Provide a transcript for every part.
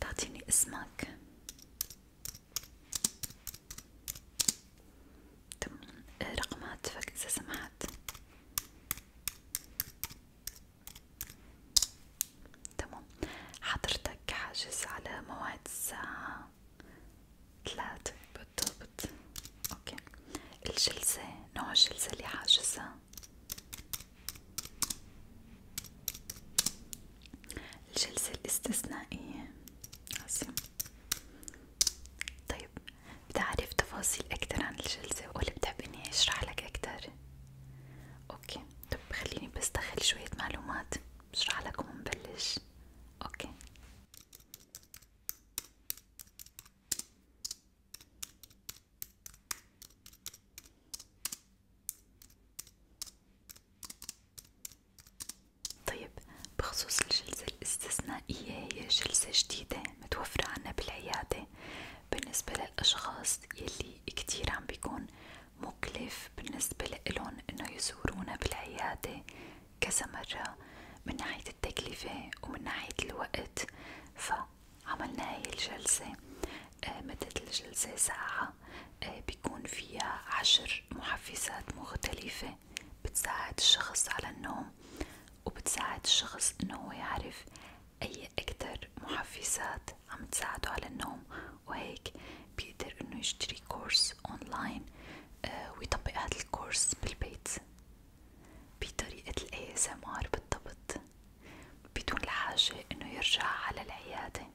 تعطيني اسمك رقم هاتفك إذا سمحت تمام حضرتك حاجز على موعد الساعة ثلاثة بالضبط اوكي الجلسة نوع الجلسة اللي حاجزها الجلسة الاستثنائية عظيم طيب بتعرف تفاصيل أكتر عن الجلسة ولا بتحب إني أشرح لك أكتر؟ أوكي طب خليني بس دخل شوية معلومات بشرح لك ومنبلش أوكي طيب بخصوص الجلسة الاستثنائية هي جلسة جديدة متوفرة عنا بالعيادة بالنسبة للأشخاص يلي كتير عم بيكون مكلف بالنسبة لإلهم إنه يزورونا بالعيادة كذا مرة من ناحية التكلفة ومن ناحية الوقت، فا عملنا هاي الجلسة آه، مدة الجلسة ساعة آه، بيكون فيها عشر محفزات مختلفة بتساعد الشخص على النوم وبتساعد الشخص انه هو يعرف اي اكتر محفزات عم تساعده على النوم وهيك بيقدر انه يشتري كورس اونلاين آه، ويطبق هذا الكورس بالبيت بطريقة ال ASMR بالضبط بدون الحاجة انه يرجع على العيادة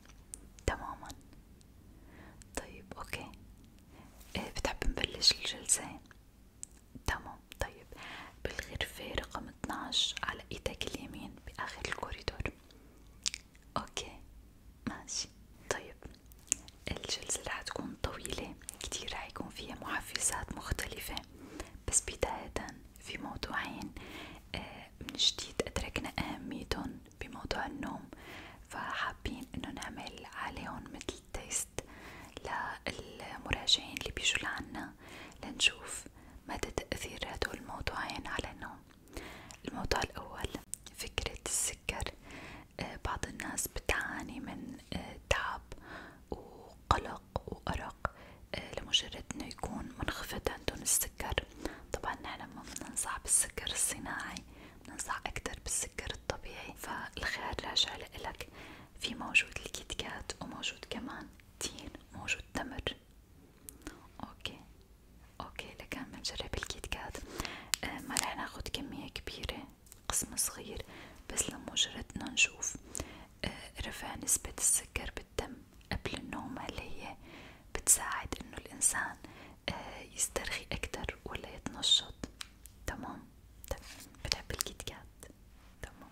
تماما طيب اوكي إيه بتحب نبلش الجلسة تمام طيب بالغرفة رقم 12 على ايدك اليمين باخر الكوريدور اوكي ماشي طيب الجلسة رح تكون طويلة كتير رح يكون فيها محفزات مختلفة بس بداية في موضوعين من آه، جديد أدركنا أهميتهم بموضوع النوم فحابين إنه نعمل عليهم متل تيست للمراجعين اللي بيجوا لعنا لنشوف مدى تأثير هدول الموضوعين على النوم الموضوع الأول فكرة السكر آه، بعض الناس بتعاني من آه، تعب وقلق وأرق آه، لمجرد انه يكون منخفض عندهم السكر طبعا نحن ما بننصح بالسكر الصناعي بننصح اكتر بالسكر الطبيعي فالخيار راجع لإلك في موجود الكيت كات وموجود كمان تين موجود تمر اوكي اوكي لكان بنجرب الكيت كات آه ما رح ناخد كمية كبيرة قسم صغير بس لمجرد انه نشوف آه رفع نسبة السكر الدم قبل النوم هل هي بتساعد انه الانسان آه، يسترخي اكتر ولا يتنشط تمام تمام بتحب الكيت كات تمام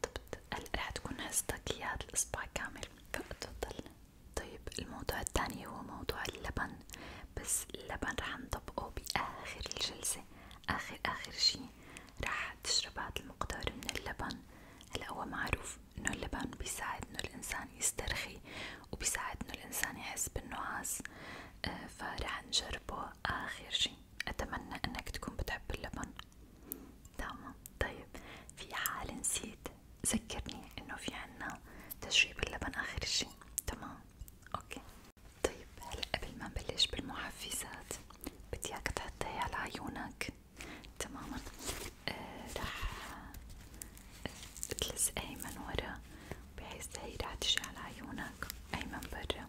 بالضبط رح تكون هزتك اياه الاسبوع كامل فاتفضل طيب الموضوع الثاني هو موضوع اللبن بس اللبن رح نطبقه باخر الجلسة اخر اخر شي رح تشرب هذا المقدار من اللبن هلا هو معروف انه اللبن بيساعد انه الانسان يسترخي وبيساعد انه الانسان يحس بالنعاس آه، فرح نجربه اخر شي اتمنى انك تكون بتحب اللبن تمام طيب في حال نسيت ذكرني انه في عنا تشريب اللبن اخر شي تمام اوكي طيب هلا قبل ما نبلش بالمحفزات بدي اياك تحطيها على عيونك تماما آه رح تلزقيه من ورا بحيث هي رح تجي على عيونك أي برا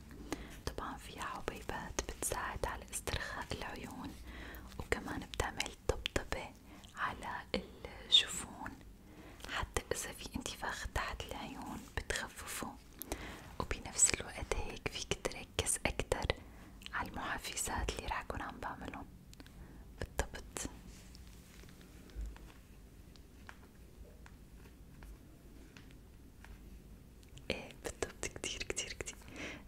طبعا فيها حبيبات بتساعد على استرخاء العيون وكمان بتعمل طبطبة على الجفون حتى إذا في انتفاخ تحت العيون بتخففه وبنفس الوقت هيك فيك تركز أكتر على المحفزات اللي راح كون عم بعملهم بالضبط ايه بالضبط كتير كتير كتير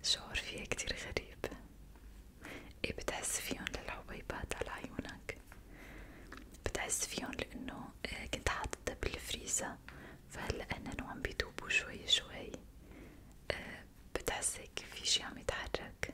شعور فيها كتير غريب ايه بتحس فيهم للحبيبات على عيونك بتحس فيهم لانه إيه، كنت حاطتها بالفريزة فهلا هنن وعم بيدوبوا شوي شوي إيه، بتحس هيك في شي عم يتحرك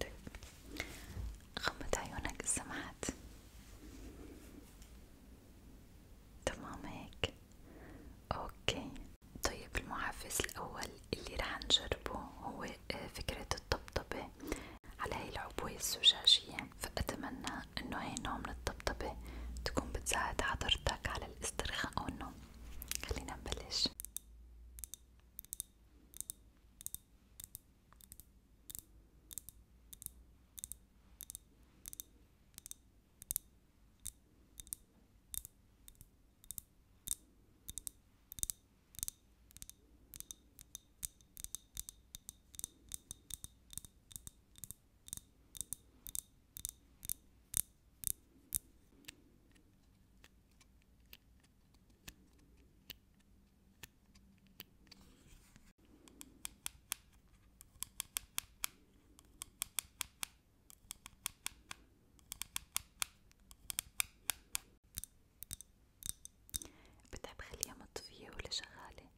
طيب غمض عيونك سمعت تمام هيك اوكي طيب المحفز الاول اللي رح نجربه هو آه، فكرة الطبطبة على هاي العبوة الزجاجية فأتمنى كمان انه هي نوع من الطبطبة تكون بتساعد حضرتك على الاسترخاء والنوم خلينا نبلش بدها بخليها مطفية ولا شغالة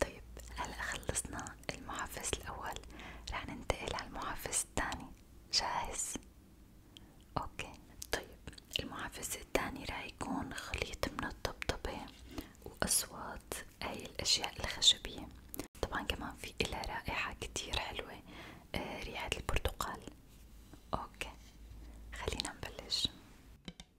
طيب هلا خلصنا المحفز الأول رح ننتقل على المحفز الثاني جاهز؟ اوكي طيب المحفز الثاني رح يكون خليط من الطبطبة وأصوات هاي الأشياء الخشبية طبعا كمان في إلها رائحة كتير حلوة آه، ريحة البرتقال اوكي خلينا نبلش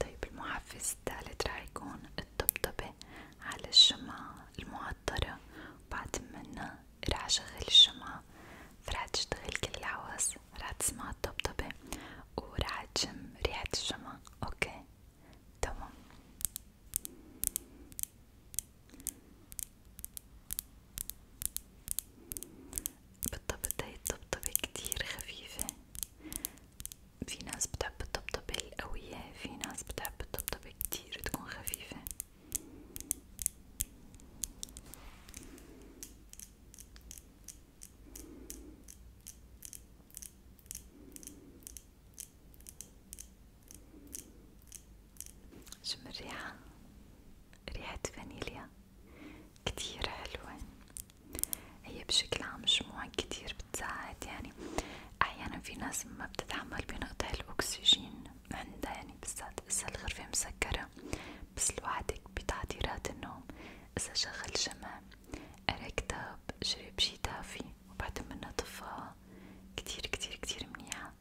طيب المحفز الثالث رح يكون الطبطبة على الشمعة المعطرة وبعد منا رح أشغل الشمعة فرح تشتغل كل العواص رح تسمع الطبطبة ورح تشم ريحة الشمعة اوكي تمام بالضبط هي الطبطبة كتير خفيفة في ناس بتحب الطبطبة القوية في ناس بتحب الطبطبة كتير تكون خفيفة شم الريحة ريحة فانيليا كتير حلوة هي بشكل عام مجموعة كتير بتساعد يعني أحيانا في ناس ما بتتحمل بنقطة الأكسجين عندها يعني بالذات إذا الغرفة مسكرة بس لوحدك بتعديرات النوم إذا شغل شمع قرا كتاب شرب شي دافي وبعد منها طفاها كتير كتير كتير منيحة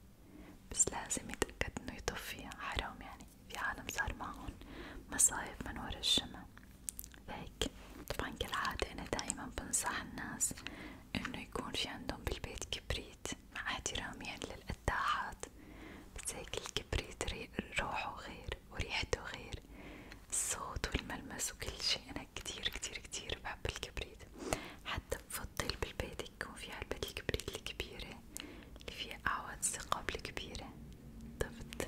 بس لازم يتأكد إنه يطفيها حرام يعني في عالم صار معهم مصايب من ورا الشمع هيك طبعا كالعادة أنا دايما بنصح الناس إنه يكون في عندهم بالبيت كبريت مع احترامي يعني للقداحات بس هيك الكبريت روحه غير وريحته غير الصوت والملمس وكل شي أنا كتير كتير كتير بحب الكبريت حتى بفضل بالبيت يكون في علبة الكبريت الكبيرة اللي فيها أعواد الثقاب الكبيرة بالضبط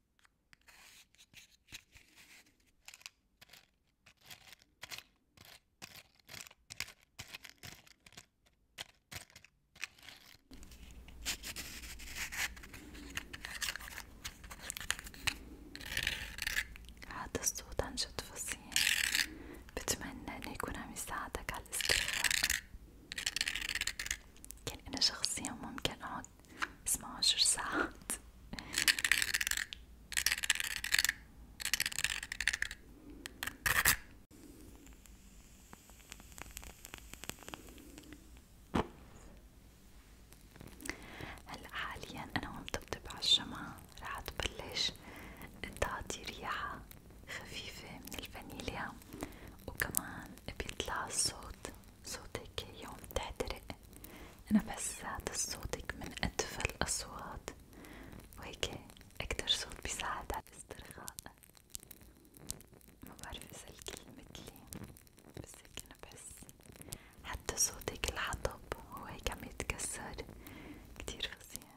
هذا الصوت عن جد فصيح بتمنى انه يكون عم يساعدك على الاسترخاء كان انا شخصيا ممكن اقعد اسمعوا عشر ساعات هلا حاليا انا وعم طبطب على الشمعة رح تبلش تعطي ريحة خفيفة من الفانيليا وكمان بيطلع الصوت صوتك يوم تحترق أنا بس صوتك من أدفى الأصوات وهيك أكتر صوت بيساعد على الاسترخاء ما بعرف إذا الكل متلي بس هيك أنا بحس حتى صوتك الحطب هو هيك عم يتكسر كتير فظيع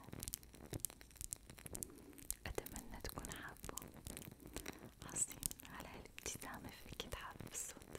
أتمنى تكون حابه عظيم على هالابتسامة فيك تحب الصوت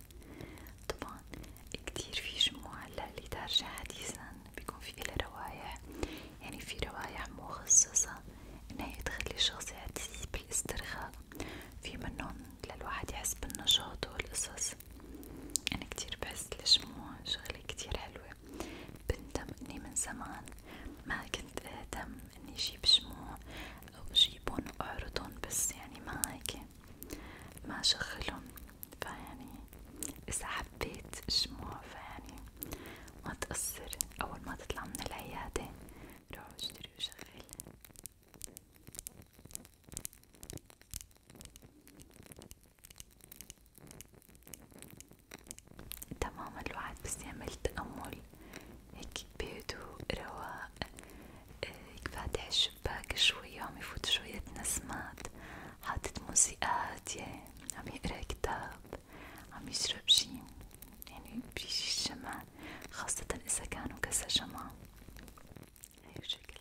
طبعا طبعا كتير في جموع اللي دارجة حديثا بيكون في إلها روايح يعني في روايح مخصصة انها تخلي الشخص يحس بالاسترخاء في منهم للواحد يحس بالنشاط والقصص انا كتير بحس الجموع شغلة كتير حلوة بندم اني من زمان ما كنت اهتم اني جيب جموع او جيبون واعرضن بس يعني ما هيك ما شغلهم فيعني إذا حبيت الشموع فيعني ما تقصر أول ما تطلع من العيادة روح اشتري وشغل تمام الواحد بس يعمل تأمل هيك بهدوء رواق هيك آه، فاتح الشموع الشباك شوية عم يفوت شوية نسمات حاطط موسيقى يعني هادية عم يقرا كتاب عم يشرب يعني شي يعني بشي شمع خاصة إذا كانوا كذا شمع هاي الشكل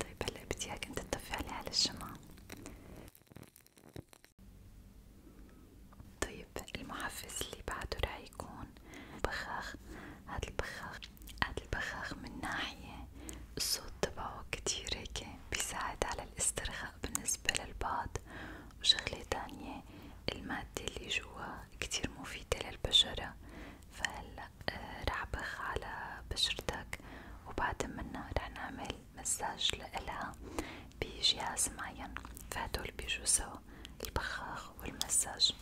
طيب هلا بدي اياك انت تطفي علي على الشمع طيب المحفز اللي بعده رح يكون بخاخ هاد البخاخ هاد البخاخ من ناحية الصوت تبعه كتير هيك بيساعد على الاسترخاء بالنسبة للبعض وشغلة تانية المادة اللي جوا كتير مفيدة للبشرة فهلا آه، رح بخ على بشرتك وبعد منها رح نعمل مساج لإلها بجهاز معين فهدول بيجوا سوا البخاخ والمساج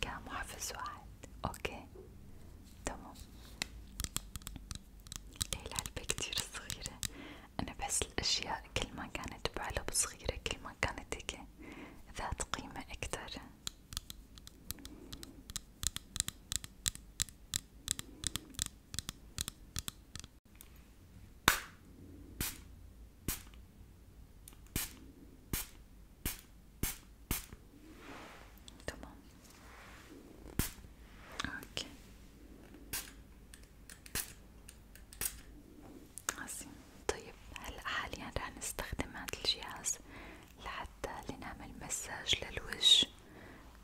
كمحفز واحد اوكي تمام هي العلبة كتير صغيرة انا بحس الاشياء كل ما كانت بعلب صغيرة كل ما كانت هيك ذات قيمة اكتر تمام اوكي عظيم طيب هلا حاليا رح نستخدم هذا الجهاز لحتى لنعمل مساج للوجه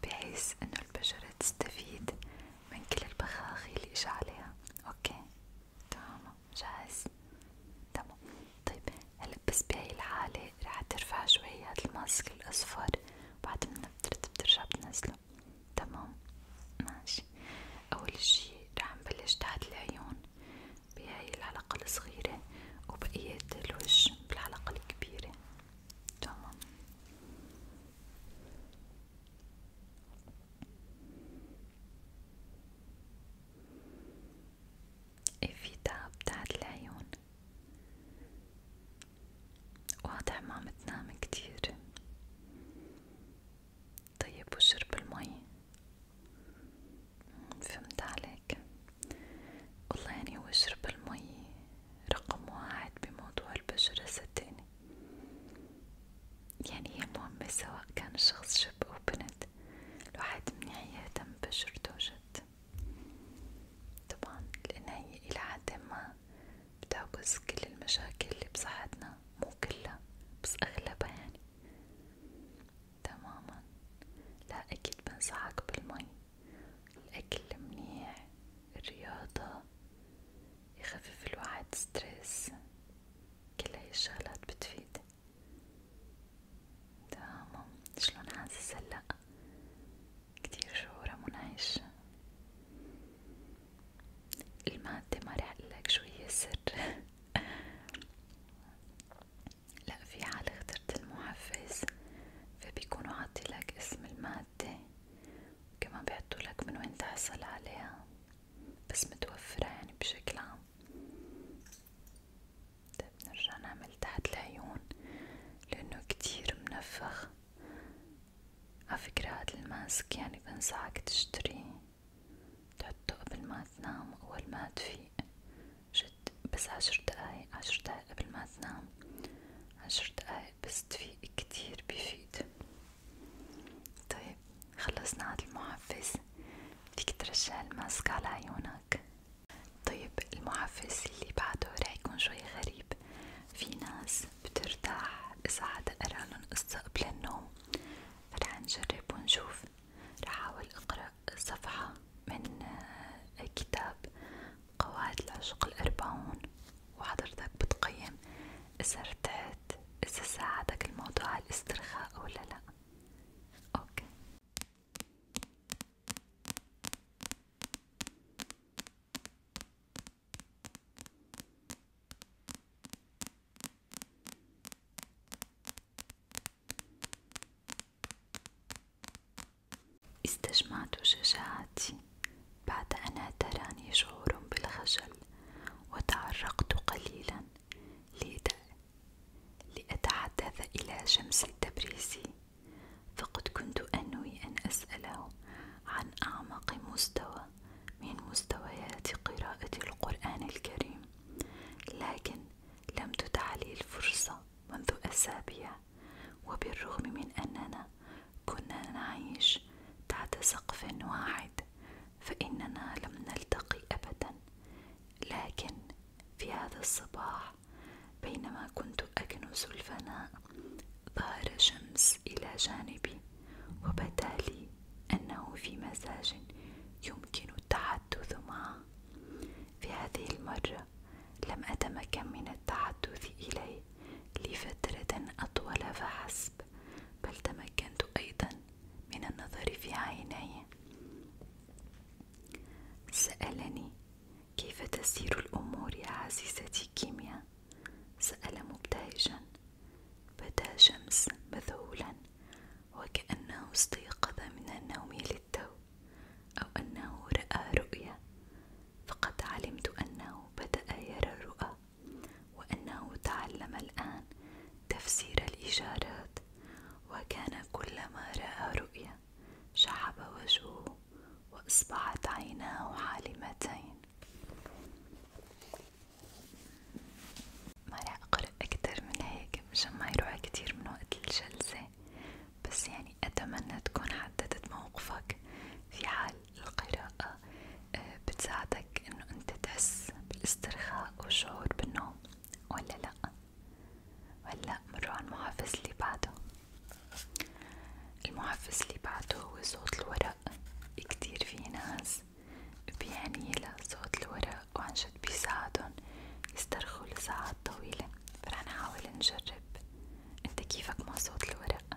بحيث انه البشرة تستفيد من كل البخاخي اللي اجا عليها اوكي تمام جاهز تمام طيب هلا بس بهاي الحالة رح ترفع شوي هاد الماسك الأصفر بعد ما نفترض بترجع بتنزله تمام ماشي أول شي رح نبلش تحت العيون بهاي الحلقة الصغيرة وبقية الوجه بالحلقة الكبيرة تمام إفيتها بتاعت العيون واضح ما متنام كتير طيب وشرب المي فهمت عليك والله يعني هو شرب المي رقم واحد بموضوع البشرة صدقني يعني هي مهمة سواء كان الشخص شب أو بنت الواحد منيح يهتم بشرته جد طبعا لأن هي إلى حد ما بتعكس كل المشاكل اللي بصحتنا مو كلها بس أغلبها يعني تماما لا أكيد بنصحك بالمي الأكل منيح الرياضة يخفف الواحد ستريس كل هاي الشغلات بتفيد تمام شلون حاسس هلا كتير شعوره منعش المادة ما رح اقلك شو هي السر لا في حال اخترت المحفز فبيكونوا عاطيلك اسم المادة وكمان بيحطولك من وين تحصل عليها بس متوفرة يعني بشكل عام بنرجع طيب، نعمل تحت العيون لأنه كتير منفخ عفكرة هاد الماسك يعني بنصحك تشتريه تحطه قبل ما تنام أول ما تفيق جد بس عشر دقايق عشر دقايق قبل ما تنام عشر دقايق بس تفيق كتير بيفيد طيب خلصنا هاد المحفز فيك ترجع الماسك على عيونك طيب المحفز اللي بعده رح يكون شوي غريب في ناس بترتاح إذا حدا قرالن قصة قبل النوم فرح نجرب ونشوف رح أحاول أقرأ صفحة من آه، كتاب قواعد العشق الأربعون وحضرتك بتقيم إذا ارتحت إذا ساعدك الموضوع على الاسترخاء ولا لأ أوكي استجمعت شجاعتي بعد أن اعتراني شعور بالخجل وتعرقت قليلا لأتحدث إلى شمس التبريزي فقد كنت أنوي أن أسأله عن أعمق مستوى من مستويات قراءة القرآن الكريم لكن لم تتح لي الفرصة منذ أسابيع وبالرغم من أننا كنا نعيش تحت سقف واحد فإننا لم نلتقي أبدا لكن في هذا الصباح بينما كنت أكنس الفناء ظهر شمس إلى جانبي وبدا لي أنه في مزاج يمكن التحدث معه في هذه المرة لم أتمكن من التحدث إليه لفترة أطول فحسب بل تمكنت أيضا من النظر في عيني سألني كيف تسير الأمور يا عزيزتي كيميا سأل مبتهجا بدا شمس مذهولا وكأنه استيقظ من النوم للتو أو أنه رأى رؤيا فقد علمت أنه بدأ يرى رؤى وأنه تعلم الآن تفسير الإشارات وكان كلما رأى رؤيا شعب وجهه وأصبحت عيناه حالمتين ما راح أقرأ أكتر من هيك مشان ما يروح كتير من وقت الجلسة بس يعني أتمنى تكون حددت موقفك في حال القراءة بتساعدك انه انت تحس بالاسترخاء والشعور بالنوم ولا لا هلا مروا على المحفز اللي بعده المحفز اللي بعده هو صوت الورق كتير في ناس بيعني لصوت الورق وعن جد بيساعدهم يسترخوا لساعات طويلة فرح نحاول نجرب انت كيفك مع صوت الورق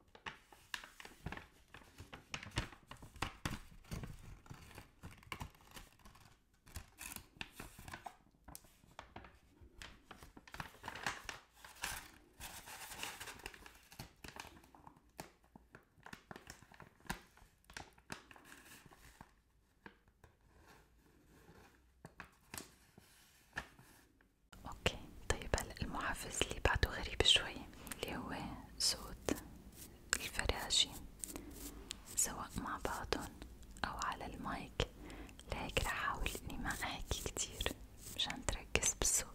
اوكي طيب هلا المحفز اللي بعده غريب شوي اللي هو صوت الفراشي سواء مع بعضهم أو على المايك لهيك رح أحاول إني ما أحكي كتير مشان تركز بالصوت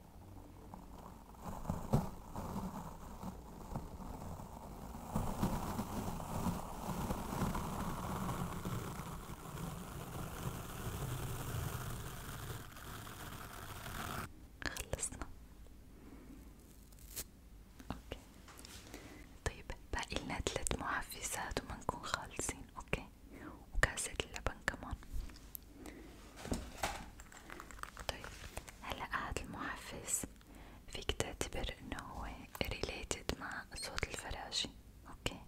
خلصنا اوكي طيب باقي لنا ثلاث محفزات ومنكون خالصين اوكي وكاسة اللبن كمان طيب هلا هاد المحفز فيك تعتبر انه هو related مع صوت الفراشي اوكي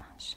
ماشي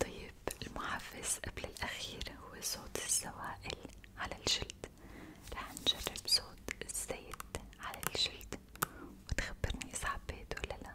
طيب المحفز قبل الأخير هو صوت السوائل على الجلد رح نجرب صوت الزيت على الجلد وتخبرني إذا حبيت ولا لأ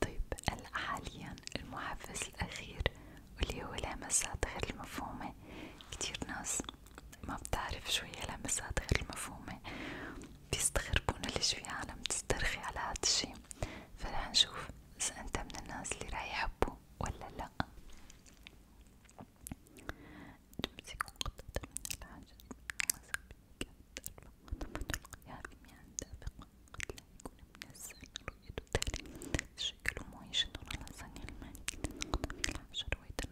طيب هلا حاليا المحفز الأخير واللي هو الهمسات غير المفهومة كتير ناس ما بتعرف شو هي لمسات غير المفهومة بيستغربون ليش في عالم تسترخي على هاد الشي فرح نشوف إذا أنت من الناس اللي راح يحبوا ولا لأ تمسك قطعة من العجل وسبيك حتى الموت قد لا يكون من السهل رؤية التالي تشكل معيشة على صنع المال قطع العشر ويتنقل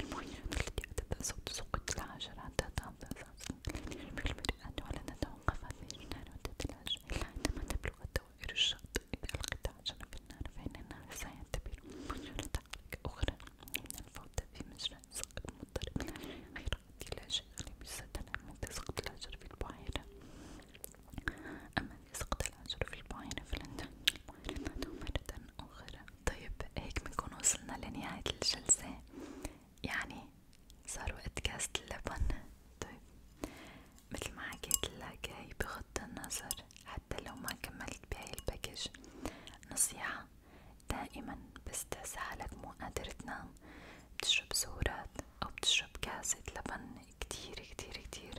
المهم التي اعتدى صوت سقوط الحجر حتى تعطى أساسا بالمرآة ولن نتوقف في النار وتتلاشى إلا عندما تبلغ دوائر الشط إذا ألقيت حجرا في النار فإن النار سيعتبر مجرى تحرك أخرى من الفوضى في مجرى سقط مضطرب غير لا شيء غريب جدا أما إذا سقط الحجر في البحيرة أما إذا سقط الحجر في البحيرة فلن تعني البحيرة مرة أخرى طيب هيك بنكون وصلنا لنهاية الجلسة يعني صار وقت كاس اللبن طيب مثل ما حكيت لك هي بغض النظر حتى لو ما كملت بهاي الباكج نصيحة دائما بس تحس حالك مو قادر تنام بتشرب سورات أو بتشرب كاسة لبن كتير كتير كتير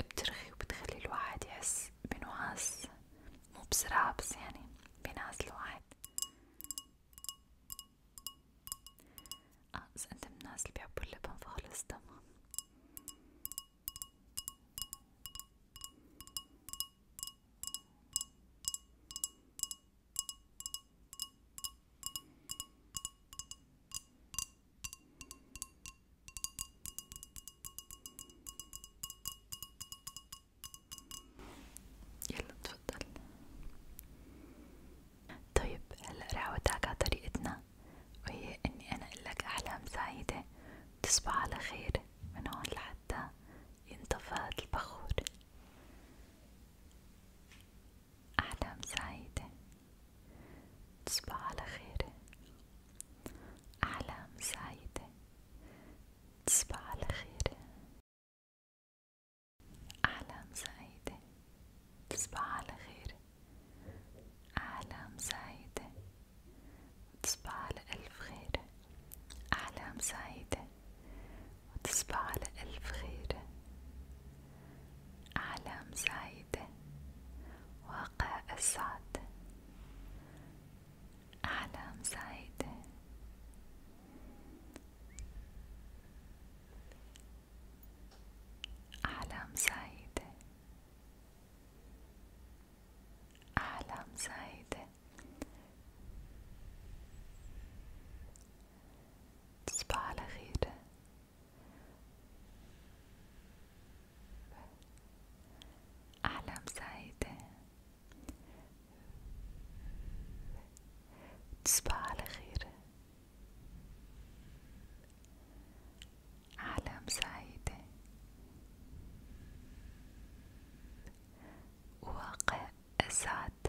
بترخي وبتخلي الواحد يحس بنعاس مو بسرعة بس يعني بينعزلوا عادي اه اذا انت من الناس اللي بيحبوا اللبن خالص تمام يلا تفضل طيب هلا رح اودعك على طريقتنا وهي اني انا اقلك احلام سعيدة تصبح على خير من هون لحتى ينطفئ البخور احلام سعيدة تصبح على خير أحلام سعيدة تصبح على خير أحلام سعيدة تصبح على خير أحلام سعيدة وتصبح على ألف خير أحلام سعيدة وتصبح على ألف خير أحلام سعيدة واقع أسعد أحلام سعيدة أحلام سعيدة أحلام سعيدة تصبح على خير أحلام سعيدة تصبح على خير أحلام سعيدة واقع أسعد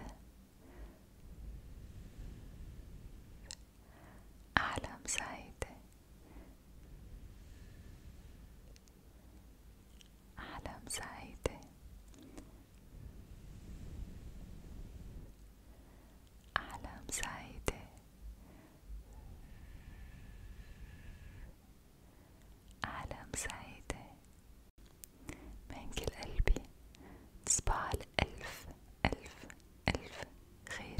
أحلام سعيدة أحلام سعيدة أحلام سعيدة أحلام سعيدة من كل قلبي تصبح ألف ألف ألف خير